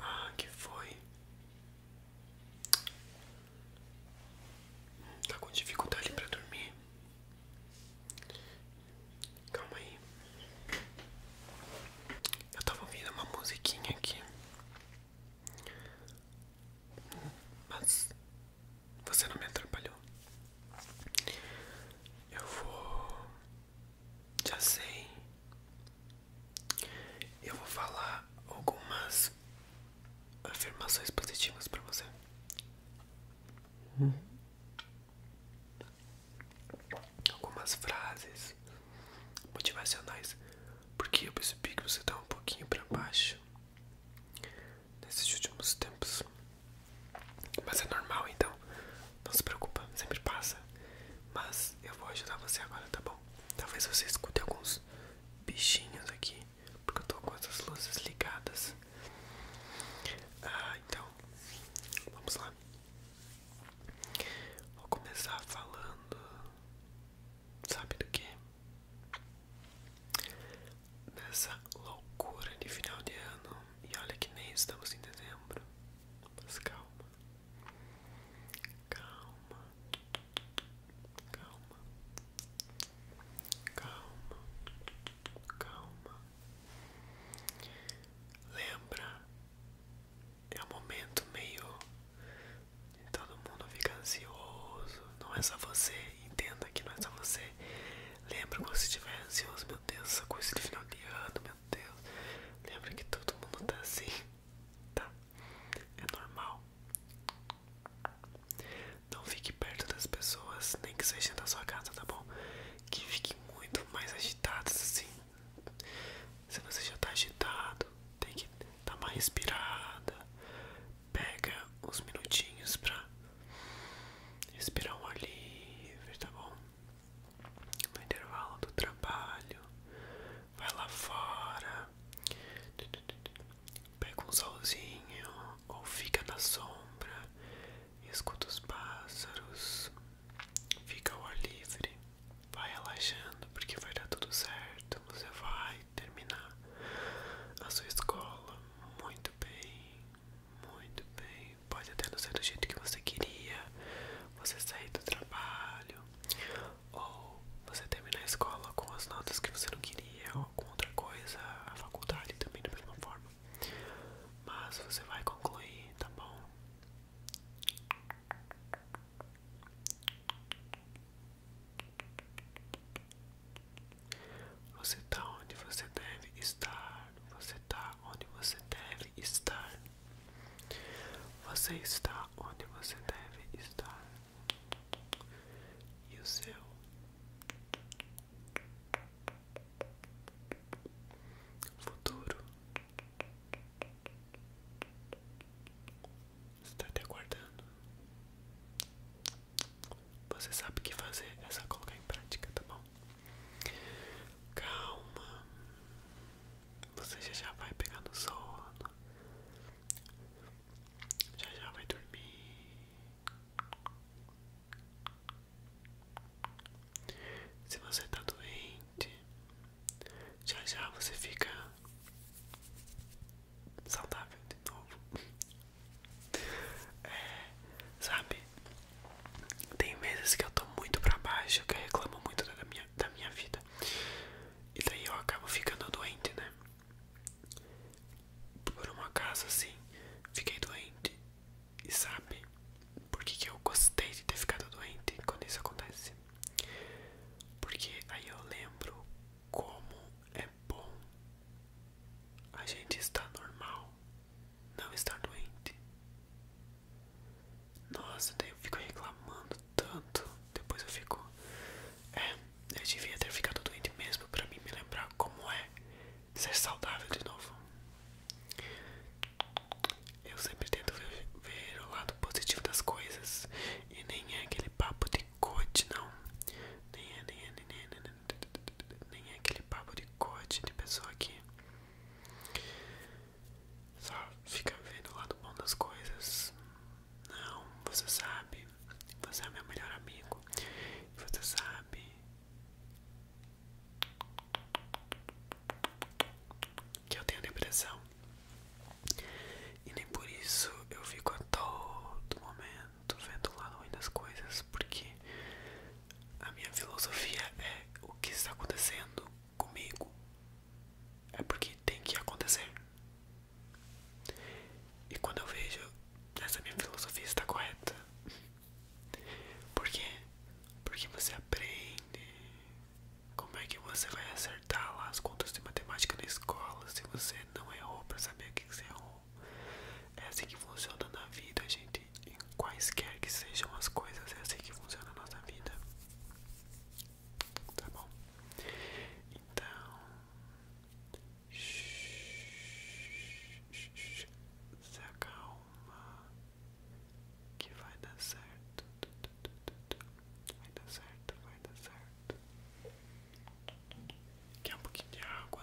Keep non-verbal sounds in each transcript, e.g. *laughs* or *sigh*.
Ah, que foi? Tá com dificuldade para dormir? Calma aí. Eu tava ouvindo uma musiquinha aqui. Mas você não me atrapalhou. Eu vou. Já sei. Eu vou falar algumas afirmações positivas para você. Algumas frases motivacionais, porque eu percebi que você tá um pouquinho para baixo nesses últimos tempos. Mas é normal, então não se preocupa, sempre passa. Mas eu vou ajudar você agora, tá bom? Talvez você escute alguns bichinhos aqui, porque eu tô com essas luzes ligadas. Ah, então, vamos lá. Vou começar falando, sabe do que? Nessa loucura de final de ano, e olha que nem estamos em dezembro, mas calma, calma, calma, calma, calma. Lembra, é um momento meio. Todo mundo fica ansioso, não é só você, Entenda que não é só você. Lembra quando você estiver ansioso, meu Deus, essa coisa de final de ano, meu Deus. Lembra que todo mundo tá assim, tá? É normal. Não fique perto das pessoas, nem que seja da sua casa, tá bom? Que fiquem muito mais agitadas assim. Se você já tá agitado, tem que dar uma respirada, pega uns minutinhos pra respirar um ar livre, tá bom? No intervalo do trabalho, vai lá fora, pega um solzinho ou fica na sombra, escuta os pássaros, fica ao ar livre, vai relaxando porque vai dar tudo certo. Você vai terminar a sua escola muito bem, muito bem. Pode até não ser do jeito que você queria, você sair do trabalho, ou você terminar a escola com as notas que você não queria, ou com outra coisa, a faculdade também da mesma forma. Mas você vai concluir, tá bom? Você está onde você deve estar. Você está onde você deve estar. Você está onde você deve estar. E o seu? Futuro está te aguardando. Você sabe o que fazer, essa é só colocar em prática, tá bom? Calma, você já já vai pegar no sono, já já vai dormir. Se você tá doente, já já você fica saudável de novo. É, sabe? Tem vezes que eu tô muito pra baixo, que eu reclamo muito da minha, da minha vida. E daí eu acabo ficando doente, né? Por um acaso assim, fiquei doente. E sabe por que, que eu gostei de ter ficado doente quando isso acontece? Porque aí eu lembro como é bom a gente está normal, não está doente. Nossa, daí eu fico reclamando tanto. Depois eu fico. É, eu devia ter ficado doente mesmo para mim me lembrar como é ser saudável de novo. Eu sempre tento ver, o lado positivo das coisas e nem é que papo de coach, não. Nem é, nem é, nem é, nem é, nem é aquele papo de coach de pessoa que só fica vendo o lado bom das coisas. Não, você sabe, você é meu melhor amigo. Você sabe que eu tenho depressão. E nem por isso eu fico a todo momento tô vendo lá ruim das coisas, porque a minha filosofia é o que está acontecendo comigo é porque tem que acontecer. E quando eu vejo essa minha filosofia está correta. Por quê? Porque você aprende como é que você vai acertar lá as contas de matemática na escola se você não errou para saber o que você errou. É assim que funciona na vida, gente. Em quaisquer que sejam as coisas, é assim que funciona a nossa vida. Tá bom? Então. Se acalma. Que vai dar certo. Vai dar certo, vai dar certo. Quer um pouquinho de água?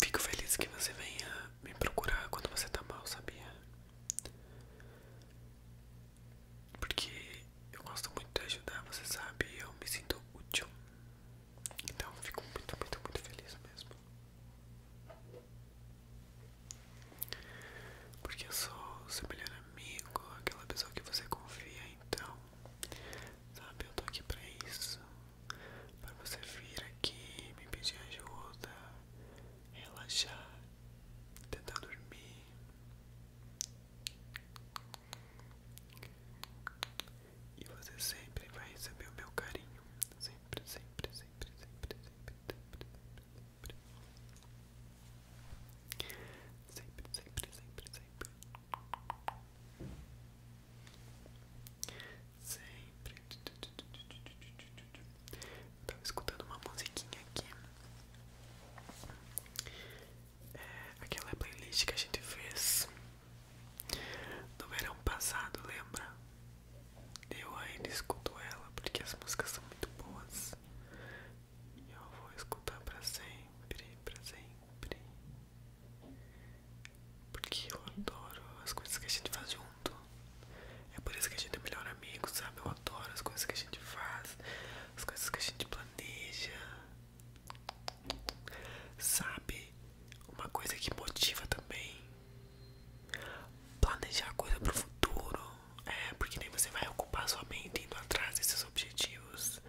Fico feliz que você venha me procurar quando você tá mal, sabia? Porque eu gosto muito de ajudar, você sabe, eu me sinto útil. Então fico muito, muito, muito feliz mesmo. Porque eu sou o seu melhor amigo, aquela pessoa que você confia, então, sabe, eu tô aqui pra isso para você vir aqui me pedir ajuda, relaxar, tentar dormir. E você sempre vai receber o meu carinho. Sempre, sempre, sempre, sempre, sempre, sempre, sempre. Sempre, sempre, sempre, Sempre. Eu tava escutando uma musiquinha aqui. É, aquela playlist que a gente fez no verão passado, lembra? Eu ainda escuto ela porque as músicas são muito boas. E eu vou escutar pra sempre, pra sempre. Porque eu adoro as coisas que a gente faz junto. É por isso que a gente é melhor amigo, sabe? Eu adoro as coisas que a gente faz, as coisas que a gente planeja. Sabe? Uma coisa que motiva também. Planejar coisa pro futuro. É, porque nem você vai ocupar sua mente indo atrás desses objetivos.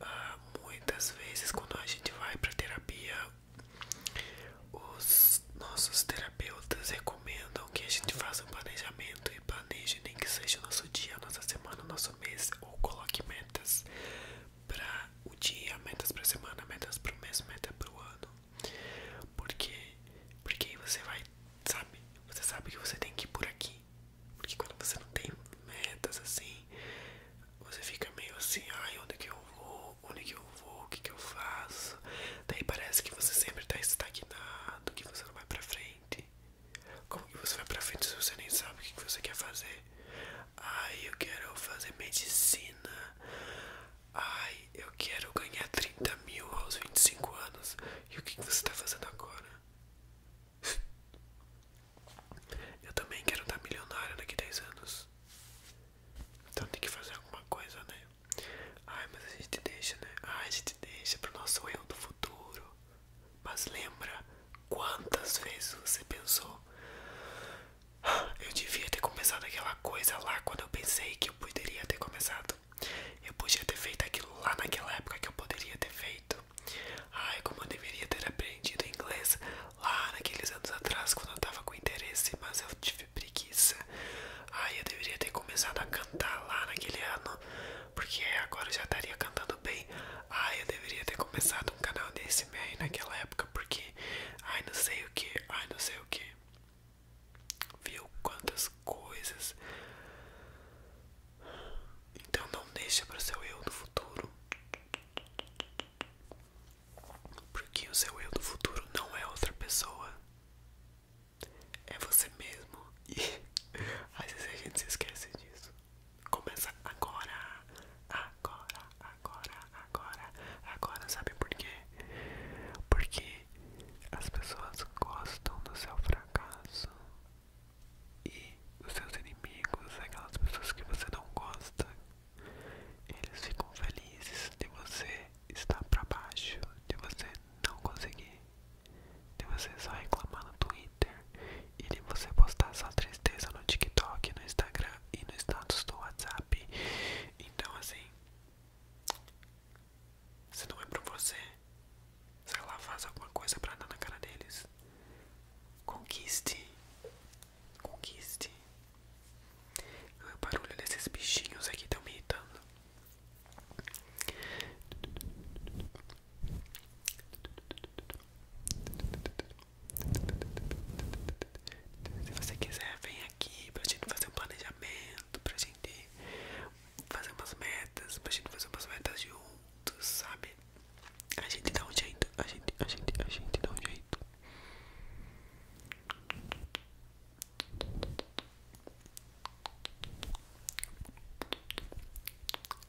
Ah, muitas vezes, quando a gente vai pra terapia, os nossos terapeutas recomendam que a gente faça um planejamento e planeje nem que seja o nosso dia, a nossa semana, o nosso mês ou coloque metas para o dia, metas para a semana, metas para o mês, metas para o ano. Porque porque você vai, sabe? Você sabe que você tem que ir por aqui. Porque quando você não tem metas assim, você fica meio assim, ai, onde que eu vou? Onde que eu vou? O que que eu faço? Daí parece que você sempre tá estagnado, que você não vai pra frente. Como que você vai pra frente se você nem sabe o que, que você quer fazer? Ai, eu quero fazer medicina. Ai, eu quero ganhar 30 mil aos 25 anos. E o que, que você tá fazendo agora? *laughs* Eu também quero dar tá milionário daqui a 10 anos. Então tem que fazer alguma coisa, né? Ai, mas a gente deixa, né? Ai, a gente deixa pro nosso eu do futuro. Mas lembra quantas vezes você pensou? Ah, eu devia ter começado aquela coisa lá quando eu pensei que eu poderia ter começado. Eu podia ter feito aquilo lá naquela época que eu poderia ter feito. Ai, como eu deveria ter aprendido inglês lá naqueles anos atrás, quando eu tava com interesse, mas eu tive preguiça. Aí eu deveria ter começado a cantar lá naquele ano, porque agora eu já estaria cantando bem. Ai, eu deveria ter começado um canal desse aí naquela época, porque ai não sei o que, ai não sei o que. Viu quantas coisas. Então não deixe para seu eu do futuro porque o seu eu do futuro não é outra pessoa, é você mesmo. E *laughs* às vezes a gente se esquece disso. Começa agora, agora, agora, agora, agora. Sabe por quê? Porque as pessoas gostam do seu fracasso. E os seus inimigos, aquelas pessoas que você não gosta, eles ficam felizes de você estar pra baixo, de você não conseguir, de você só reclamar no Twitter e de você postar sua tristeza no TikTok, no Instagram e no status do WhatsApp. Então, assim, se não é pra você, sei lá, faz alguma coisa pra dar na cara deles. Conquiste Conquiste. O barulho desses bichinhos aqui estão tá me irritando. Se você quiser, vem aqui pra gente fazer um planejamento, pra gente fazer umas metas, pra gente fazer umas metas juntos, sabe? A gente dá um jeito, a gente, a gente, a gente dá um jeito.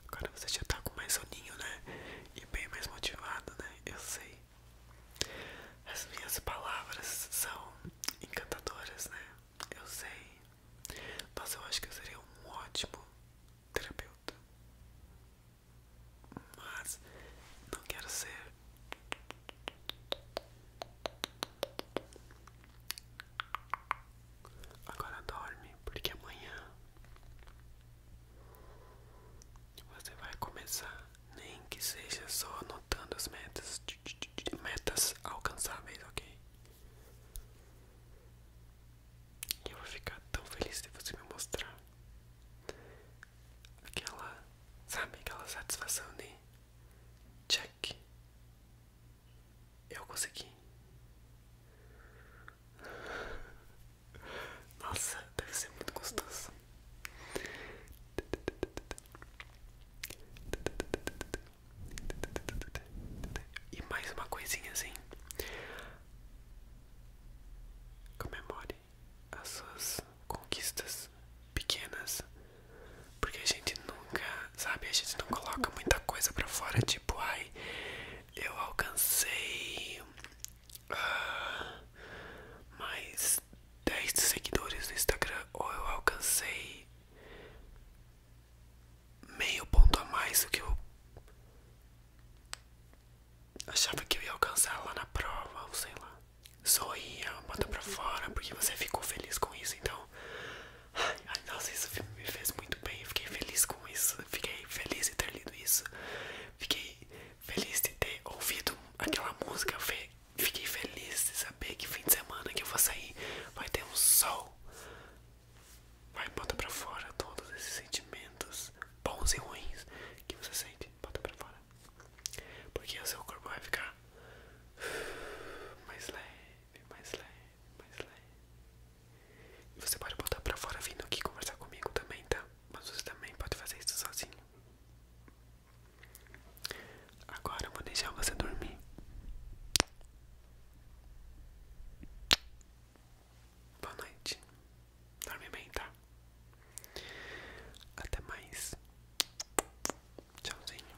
Agora você já tá com mais soninho, né? E bem mais motivado, né? Eu sei. As minhas palavras são encantadoras, né? Eu sei. Nossa, eu acho que eu seria um ótimo terapeuta. Mas não quero ser Agora dorme, porque amanhã você vai começar, nem que seja só anotando as metas, metas alcançáveis, ok? E eu vou ficar tão feliz de você me mostrar aquela, sabe, aquela satisfação de check, eu consegui. Nossa, deve ser muito gostoso. E mais uma coisinha assim. Comemore as suas conquistas pequenas, porque a gente nunca, sabe, a gente não coloca muita coisa para fora, tipo, ai, eu alcancei uh, mais 10 seguidores no Instagram, ou eu alcancei meio ponto a mais do que eu Achava que eu ia alcançar lá na prova, ou sei lá. Sorria, bota pra fora, porque você ficou feliz com isso, então. Ai, ai, nossa, isso me fez muito bem. Fiquei feliz com isso. Fiquei feliz de ter lido isso. Fiquei feliz de ter ouvido aquela música. Fiquei feliz de saber que fim de semana que eu vou sair vai ter um sol. Vai, bota pra fora todos esses sentimentos bons e ruins que você sente. Bota pra fora. Porque o seu corpo vai ficar mais leve, mais leve, mais leve. E você pode voltar pra fora vindo aqui conversar comigo também, tá? Mas você também pode fazer isso sozinho. Agora eu vou deixar você dormir. Boa noite. Dorme bem, tá? Até mais. Tchauzinho.